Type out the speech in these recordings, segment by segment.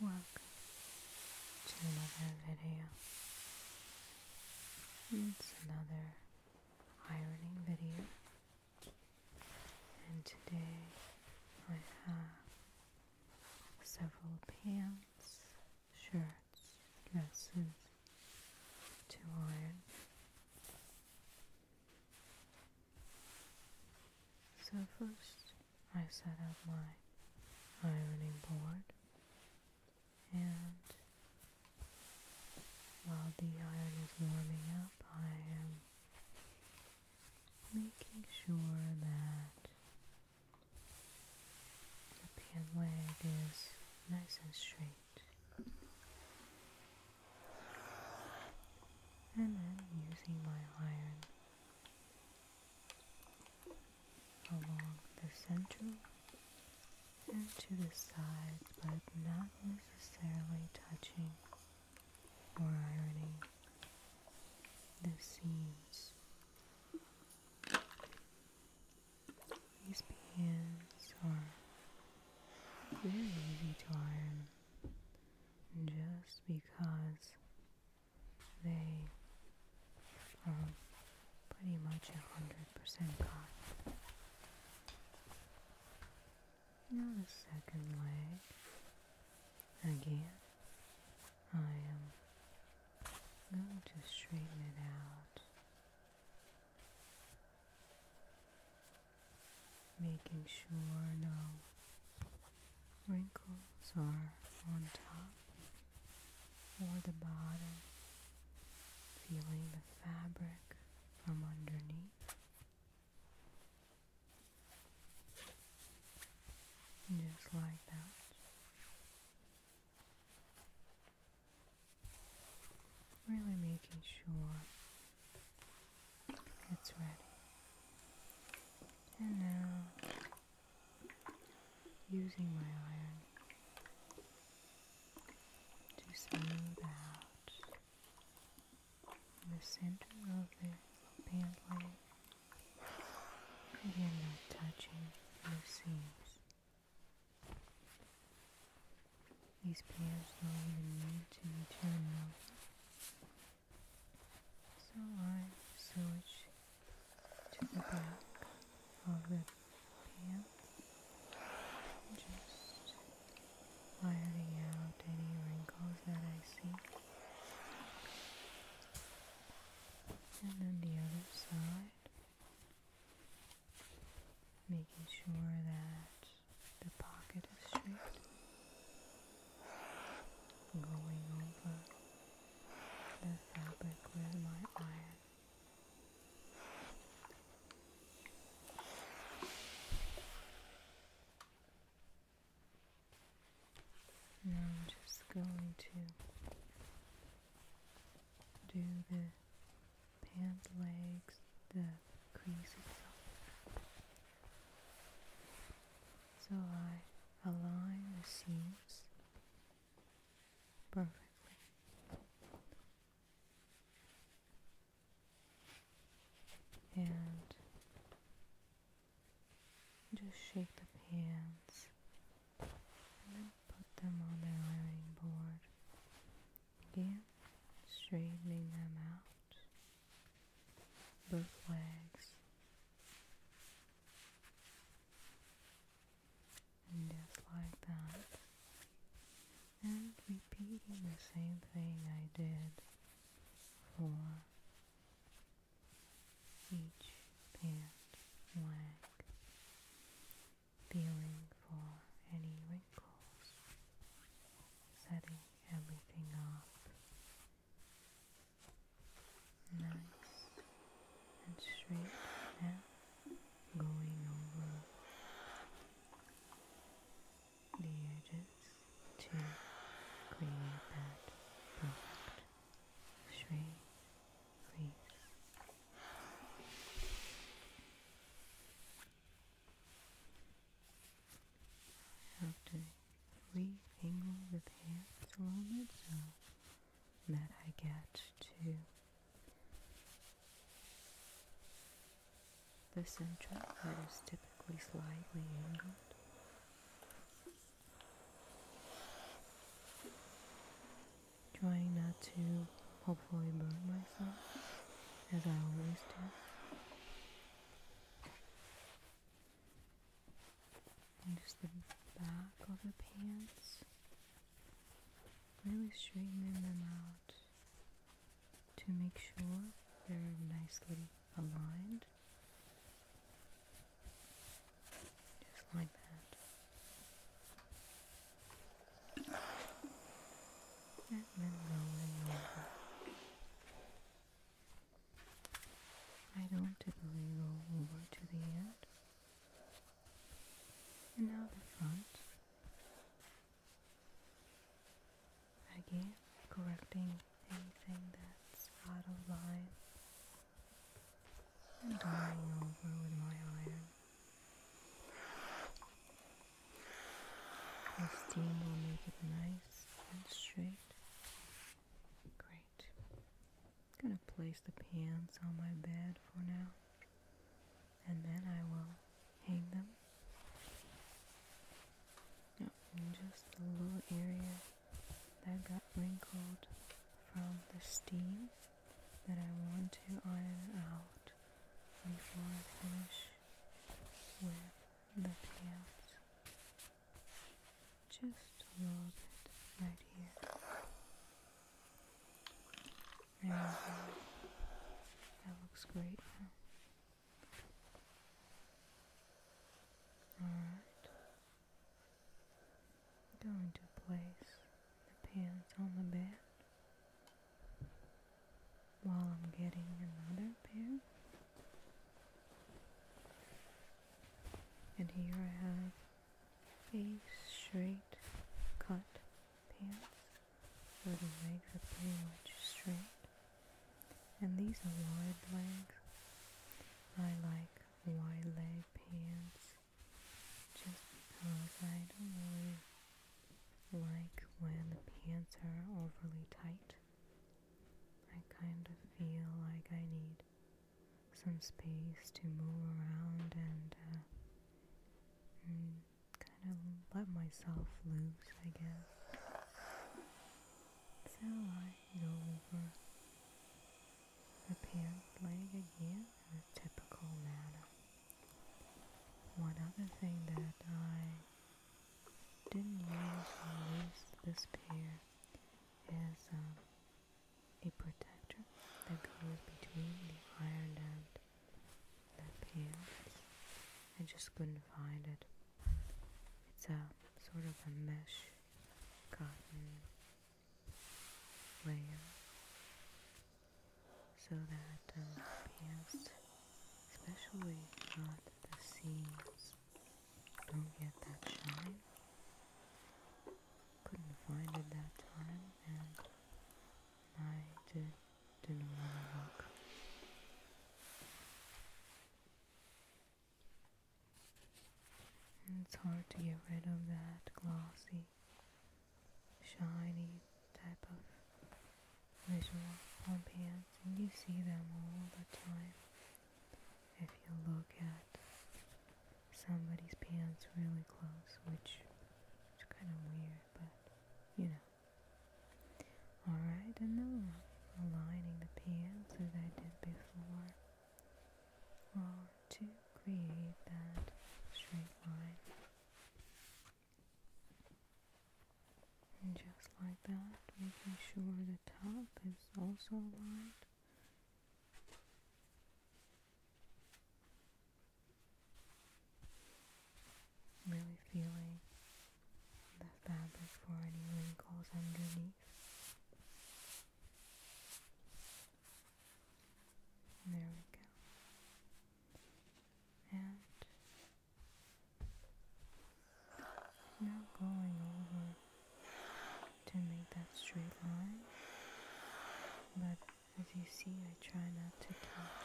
Welcome to another video. It's another ironing video. And today I have several pants, shirts, dresses to iron. So first I set up my ironing board and while the iron is warming up I am making sure that the pin leg is nice and straight and then using my iron along the center and to the sides, but not necessarily touching or ironing the seams. These pans are very easy to iron just because they are pretty much 100% gone. Now the second leg, again, I am going to straighten it out, making sure no wrinkles are on top or the bottom, feeling the fabric from underneath. Just like that. Really making sure it's ready. And now, using my iron to smooth out the center of the bandwidth. Again, not touching the seams. These pairs are not even need to be turned over. So I switch to the back of the pants, just ironing out any wrinkles that I see. And then the other side, making sure that the pocket is straight going over the fabric with my iron. Now I'm just going to do the pant legs, the crease itself. So I align the seams perfectly. And just shake the pans and then put them on the ironing board. Again, straightening them out both legs and just like that and repeating the same thing I did for each pant leg feeling for any wrinkles setting everything up nice and straight Now, going over the edges to create that perfect straight crease. After re-angle the pants along the so that I get to the center is typically slightly angled. Trying not to hopefully burn myself as I always do just the back of the pants. Really straightening them out to make sure they're nicely aligned. Just like that. I don't typically go over to the end. And now the front. Again, correcting anything that's out of line. And going over with my iron. The will make it nice and straight. Great. I'm gonna place the pants on my bed for now, and then I will hang them. Yep, just the little area that got wrinkled from the steam that I want to iron out before I finish with the pants just a little bit right here. There That looks great Alright. Going to place the pins on the bed while I'm getting another pair. And here I have a straight cut pants with the legs are pretty much straight. And these are wide legs. I like wide leg pants just because I don't really like when the pants are overly tight. I kind of feel like I need some space to move around and, uh, mm, kind of let myself loose, I guess. So I go over the pant leg again in typical manner. One other thing that I didn't use this pair is um, a protector that goes between the iron and the pants. I just couldn't find it. It's a sort of a mesh cotton layer so that um, the pants, especially not the seams, don't get that shine. Couldn't find it that time, and I just didn't want to look. It's hard to get rid of that glossy, shiny type of visual on pants, and you see them all the time if you look at somebody's pants really close, which is kind of weird, but you know. Alright, another one. Aligning the pants as I did before. Or to create that straight line and just like that making sure the top is also aligned really feeling the fabric for any wrinkles underneath there we go and now going over to make that straight line, but as you see, I try not to touch.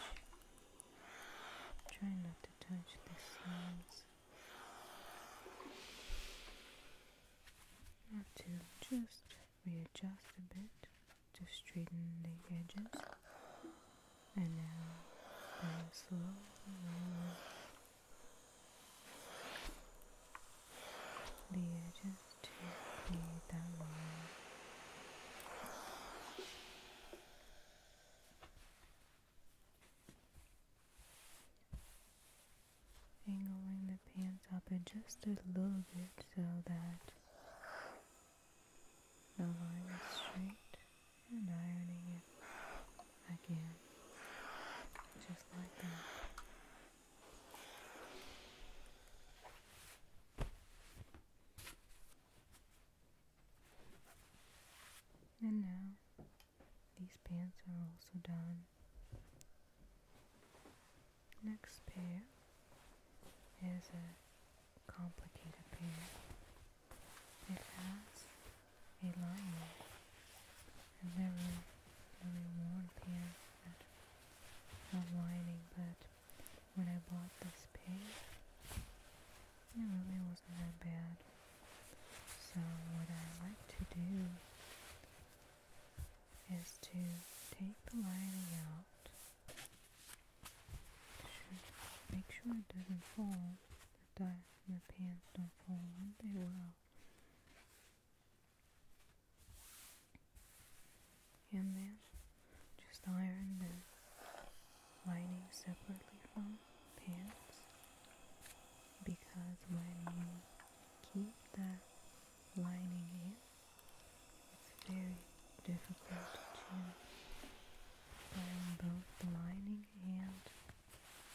Try not to touch the seams. I to just readjust a bit to straighten the edges, and now I'm slowly the edges to create that line. Angling the pants up in just a little bit so that the line is straight and ironing it again, just like that. And now, these pants are also done. Next pair is a complicated pair. It has a lining, and there was a reward here at lining. but when I bought this pig it really wasn't that bad. So what I like to do is to take the lining out, make sure it doesn't fall, the dye your pants don't fall out, they will. And then just iron the lining separately from pants because when you keep that lining in, it's very difficult to iron both the lining and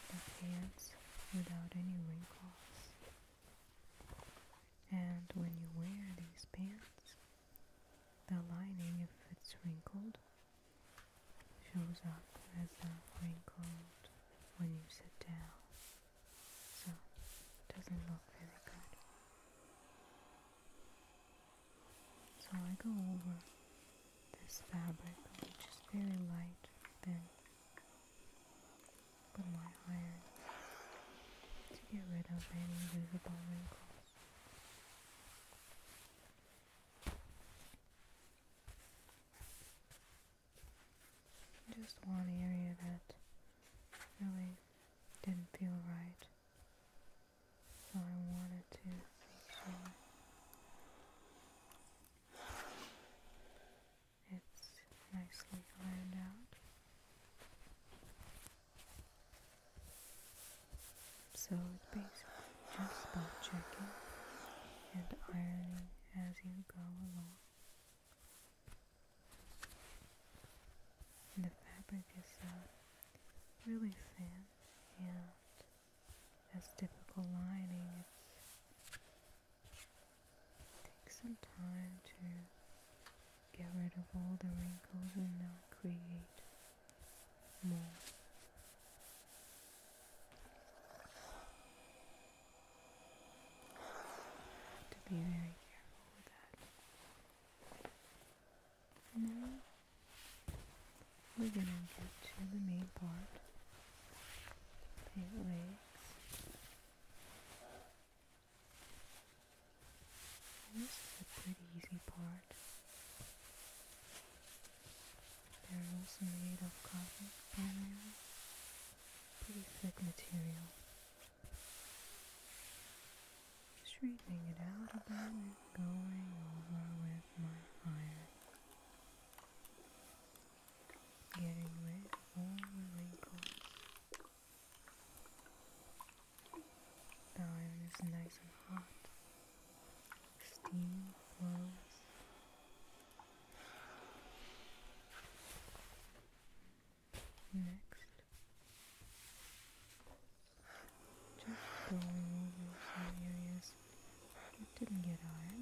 the pants without any wrinkles. And when you wear these pants, the lining, if it's wrinkled, shows up as a wrinkled when you sit down. So it doesn't look very good. So I go over this fabric, which is very light, then put my iron to get rid of any visible wrinkles. Just one area that really didn't feel right, so I wanted to so it's nicely ironed out. So it's basically just spot checking and ironing as you go along. And the fabric is uh, really thin and that's typical lining. It takes some time to get rid of all the wrinkles and now create more. to be very careful with that. And we're going to get to the main part. Paint legs. this is a pretty easy part. They're also made of cotton primarily. Pretty thick material. Straightening it out a bit, going over with my iron. Getting rid of all the wrinkles. iron is nice and hot. Steam flows. Next, just going over areas it didn't get on.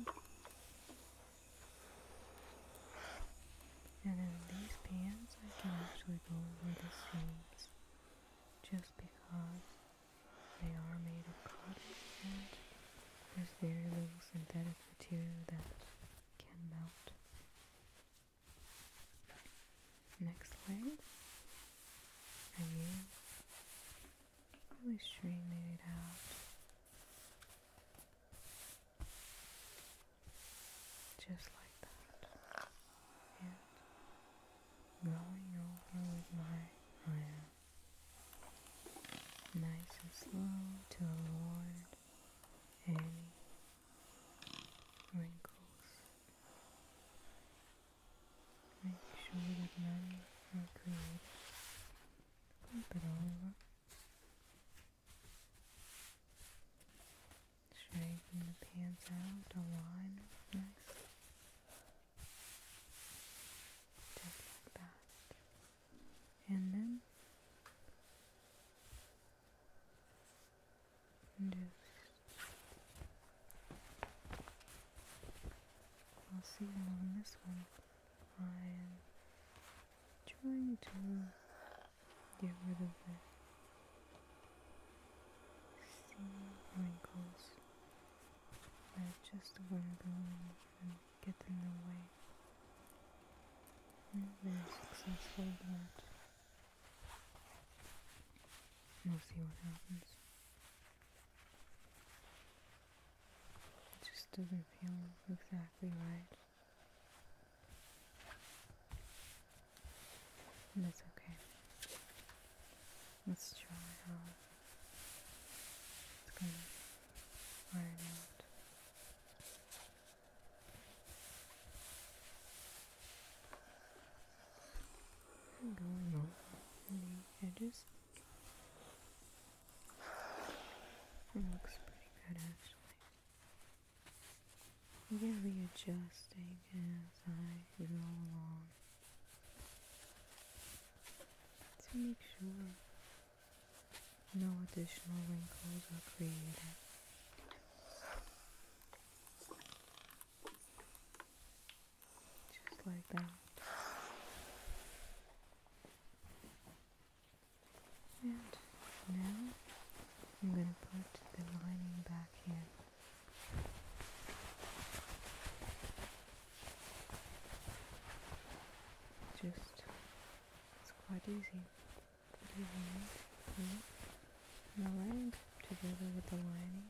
And then these pants, I can actually go over the seams just because they are made of cotton and there's very little synthetic material that can melt. Next layer, I use really straightening it out. Just like that. And rolling over with my iron. Nice and slow to avoid any wrinkles make sure that none are created. Flip it over. Straighten the pants out, align nice. Just like that. And then just I'll see you on this one. I am trying to get rid of the sea wrinkles that just were going and get in the way. I'm very successful but we'll see what happens. It just doesn't feel exactly right. And okay. Let's try it's going to iron I'm going over the edges. It looks pretty good actually. You get readjusting as I go along to make sure no additional wrinkles are created. Just like that. And now I'm going to put the lining back in. Just, it's quite easy. Put your hand in the leg together with the lining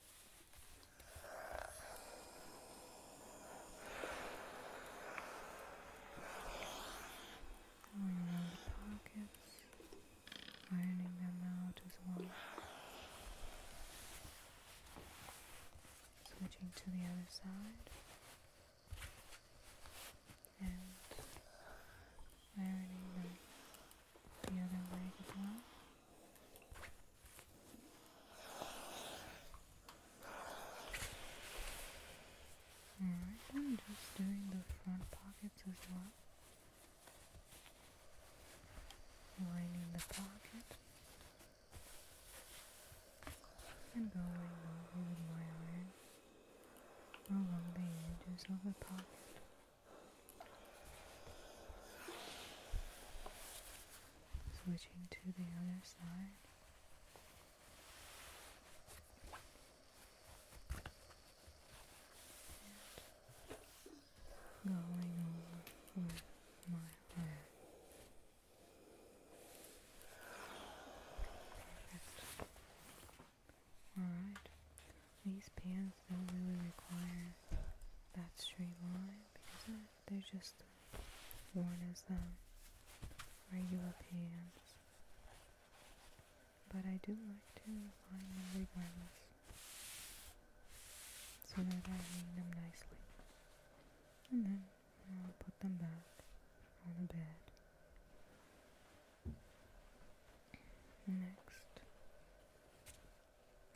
Going around the pockets, ironing them out as well. Switching to the other side and ironing them the other leg as well. Alright, I'm just doing the front pockets as well. Lining the pocket. And going over with my iron along the edges of the pocket switching to the other side. going over my hair. Perfect. Alright, these pants don't really require that straight line they are just worn as um, regular pants. But I do like to line them regardless. So that I hang them nicely. And then I'll put them back on the bed. Next,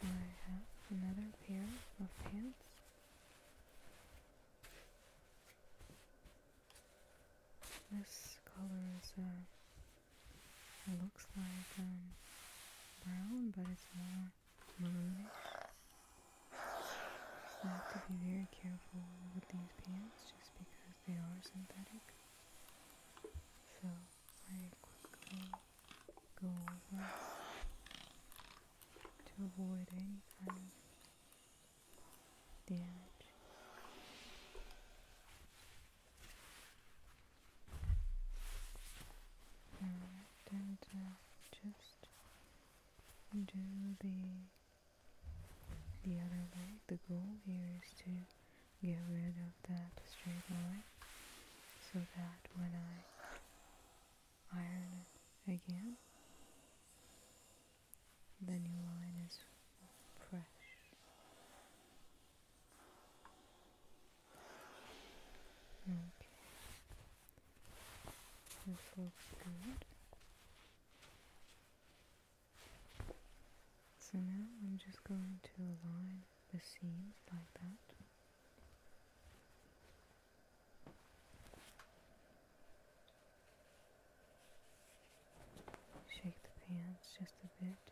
I have another pair of pants. This color is, uh, looks like um, brown, but it's more blue. So I have to be very careful with these pants just because they are synthetic. So I quickly go over to avoid any kind of damage. Alright, and uh, just do the the other way. The goal here is to get rid of that straight line so that when I iron it again. The new line is fresh. Okay. This looks good. So now I'm just going to align the seams like that. Shake the pants just a bit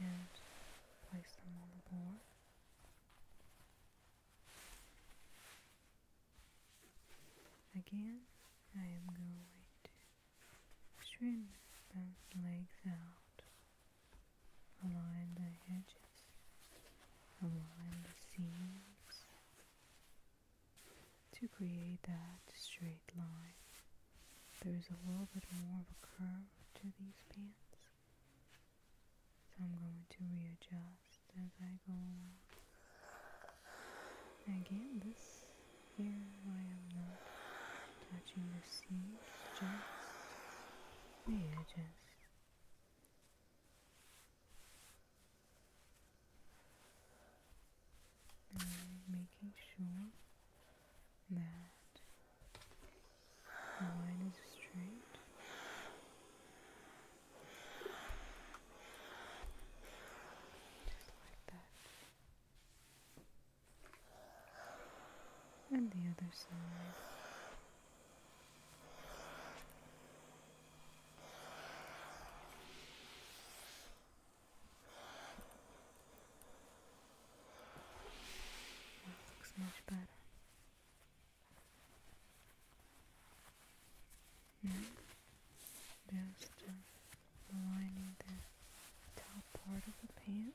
and place them on the board. Again, I am going to trim those legs out align the edges, align the seams to create that straight line. There is a little bit more of a curve to these pants, so I'm going to readjust as I go along. Again, this here I am not touching the seams, just Maybe I just making sure that the line is straight. Just like that and the other side. looks much better. Now, just aligning the top part of the pant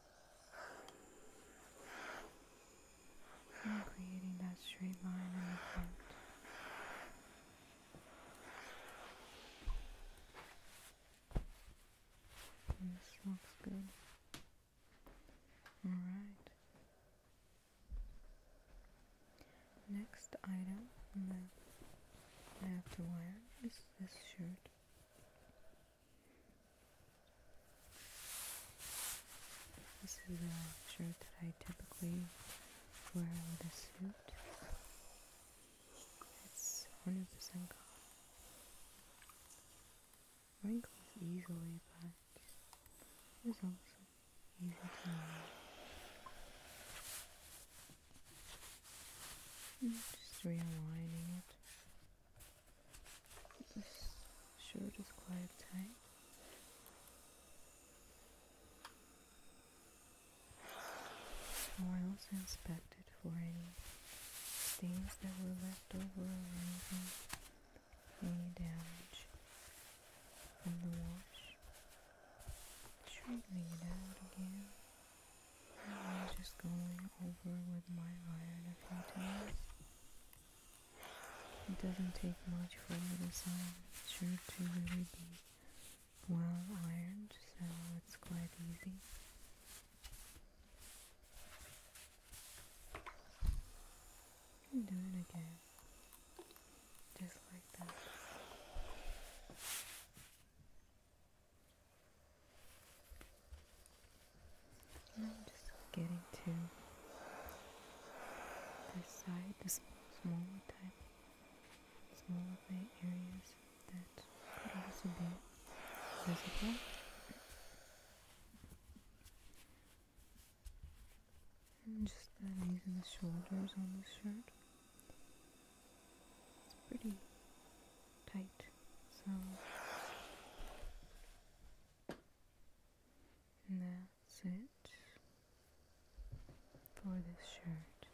I'm creating that straight line in the front. this looks good. Alright. Next item on the left wire is this shirt. This is a shirt that I typically wear with a suit. It's 100% cotton. Wrinkles easily, but it's also easy to wear. Hmm, just realigning it. This shirt is quite tight. I also inspected for any stains that were left over or any damage from the wash. Straightening it out again. just going over with my iron a few times. It doesn't take much for a little song. It's sure to really be well ironed, so it's quite easy. do it again. Just like that. I'm just getting to this side, This smaller type, smaller areas that could also be visible. And just the knees and the shoulders on this shirt. It's pretty tight, so and that's it for this shirt.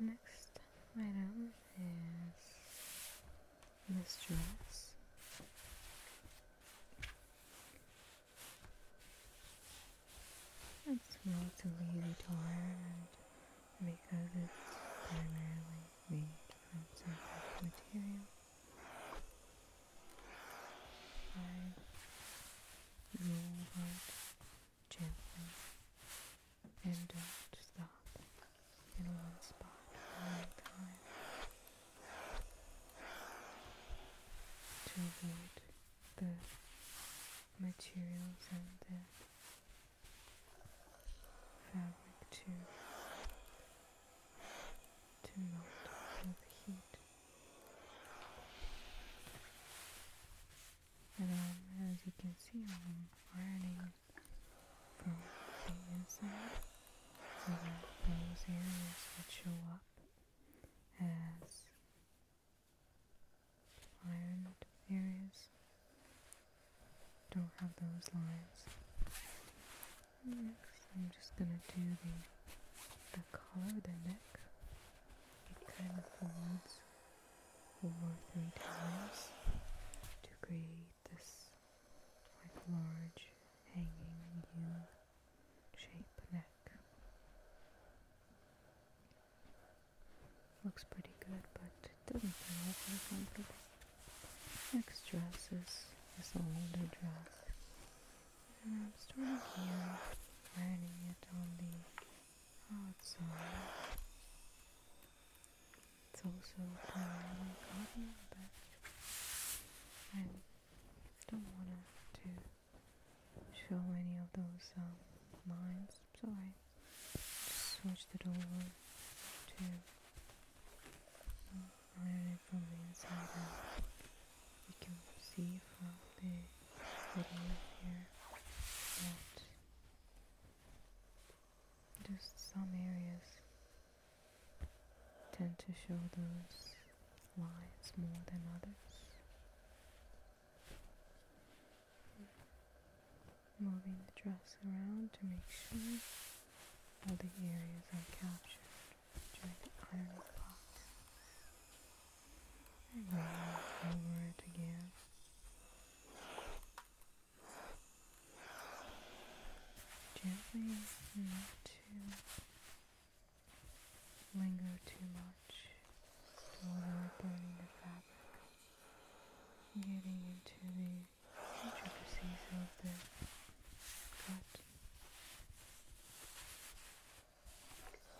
Next item is this dress. It's relatively easy because it's primarily made from synthetic material. Five, roll hard, gently, and don't stop in one spot at one time to avoid the materials and the fabric to to melt the heat. And um, as you can see, I'm ironing from the inside so that those areas that show up as ironed areas don't have those lines. Next, I'm just gonna do the, the color of the neck. It kind of folds over three times to create this like large hanging U shape neck. Looks pretty good, but it doesn't feel awfully comfortable. Next dress is this older dress. And I'm starting here, ironing it on the outside. It's also primarily cotton, but I don't want to show any of those um, lines so I Just switched it over to iron it from the inside out. You can see from the video here that just some areas tend to show those lines more than others moving the dress around to make sure all the areas are captured during the ironing process. And then over it again. Gently, not to linger too much, without the fabric getting into the intricacies of the gut.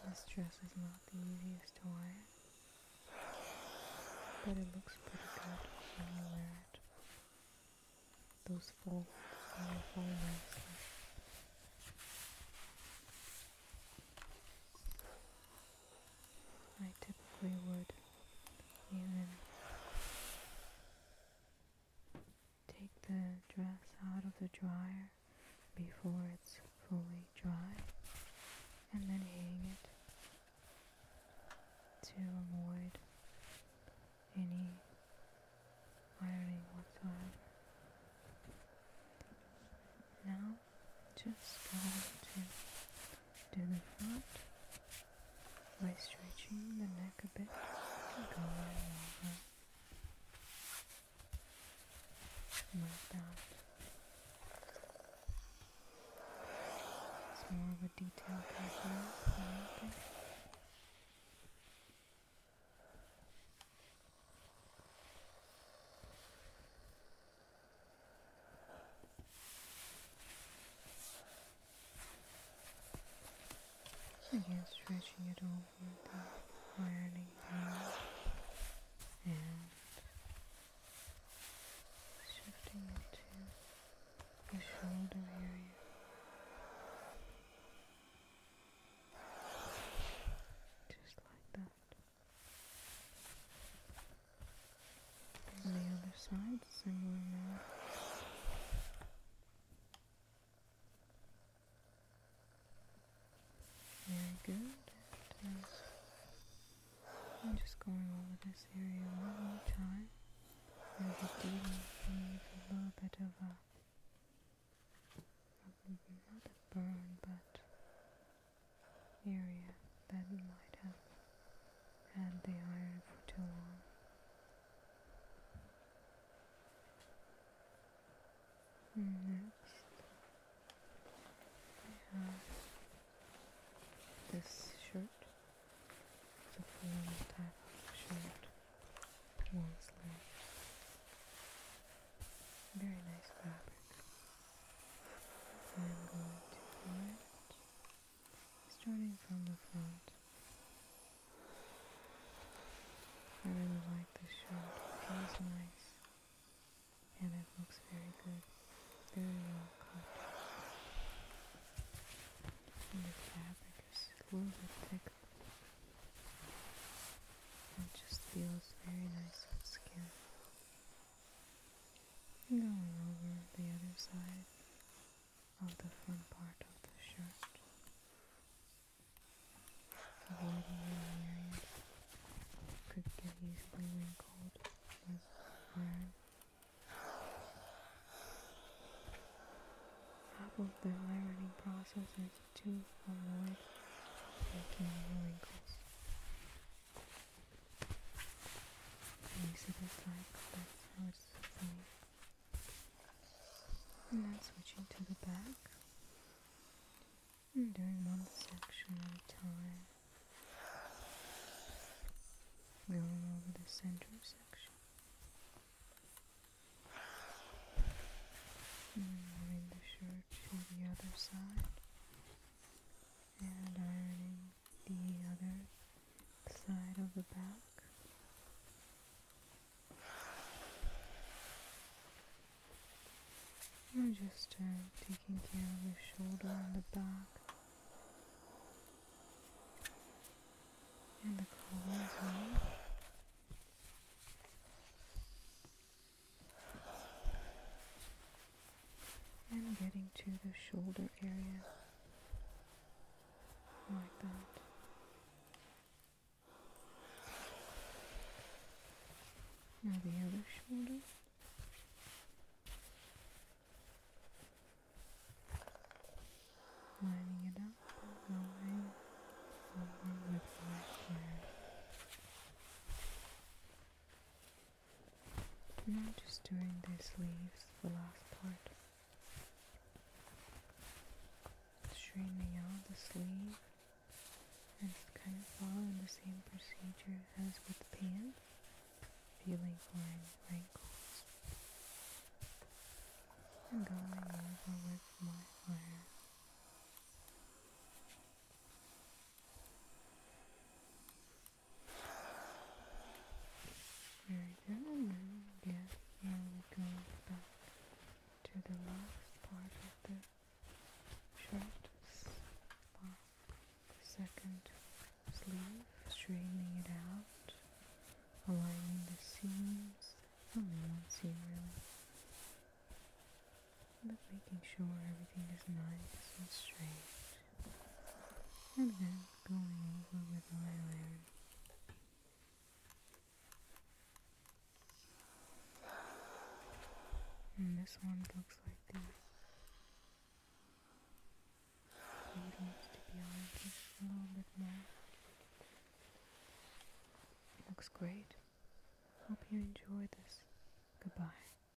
This dress is not the easiest to wear, but it looks pretty good when you wear it. Those folds follow, follow nicely. I typically would even take the dress out of the dryer before it's fully dry and then hang it to avoid any ironing whatsoever. Now just going to do the front by stretching the neck a bit and going over like It's more of a detail pattern. So again, stretching it over the burning down and shifting it to the shoulder area. Just like that. And the other side, similar now. Very good. I'm just going over this area one more time. There's a deep a little bit of a not a burn, but area that might have had the iron for too long. Next, I have this shirt. It's a full type of shirt, long sleeve. Very nice fabric i starting from the front. I really like this shirt. It feels nice and it looks very good. Very well cut. And the fabric is a little bit thick. It just feels very nice on skin. Going over the other side of the front part of the shirt, avoiding any areas could get easily wrinkled with iron. Half of the ironing process is to avoid making wrinkles. And then switching to the back. And doing one section at a time. Going over the center section. And moving the shirt to the other side. And ironing the other side of the back. I'm just uh, taking care of the shoulder and the back and the collar and getting to the shoulder area like that. Now the other shoulder. Lining it up, going forward with my square and just doing these leaves, the last part. Straightening out the sleeve and kind of following the same procedure as with the pan, feeling for wrinkles. And going over with my iron. Very good. And again, now we are going back to the last part of the short the second sleeve, straightening it out, aligning the seams, only one seam really, but making sure everything is nice and straight and then going over with my layer. And this one looks like this. needs to be on just a little bit more. looks great. Hope you enjoy this. Goodbye.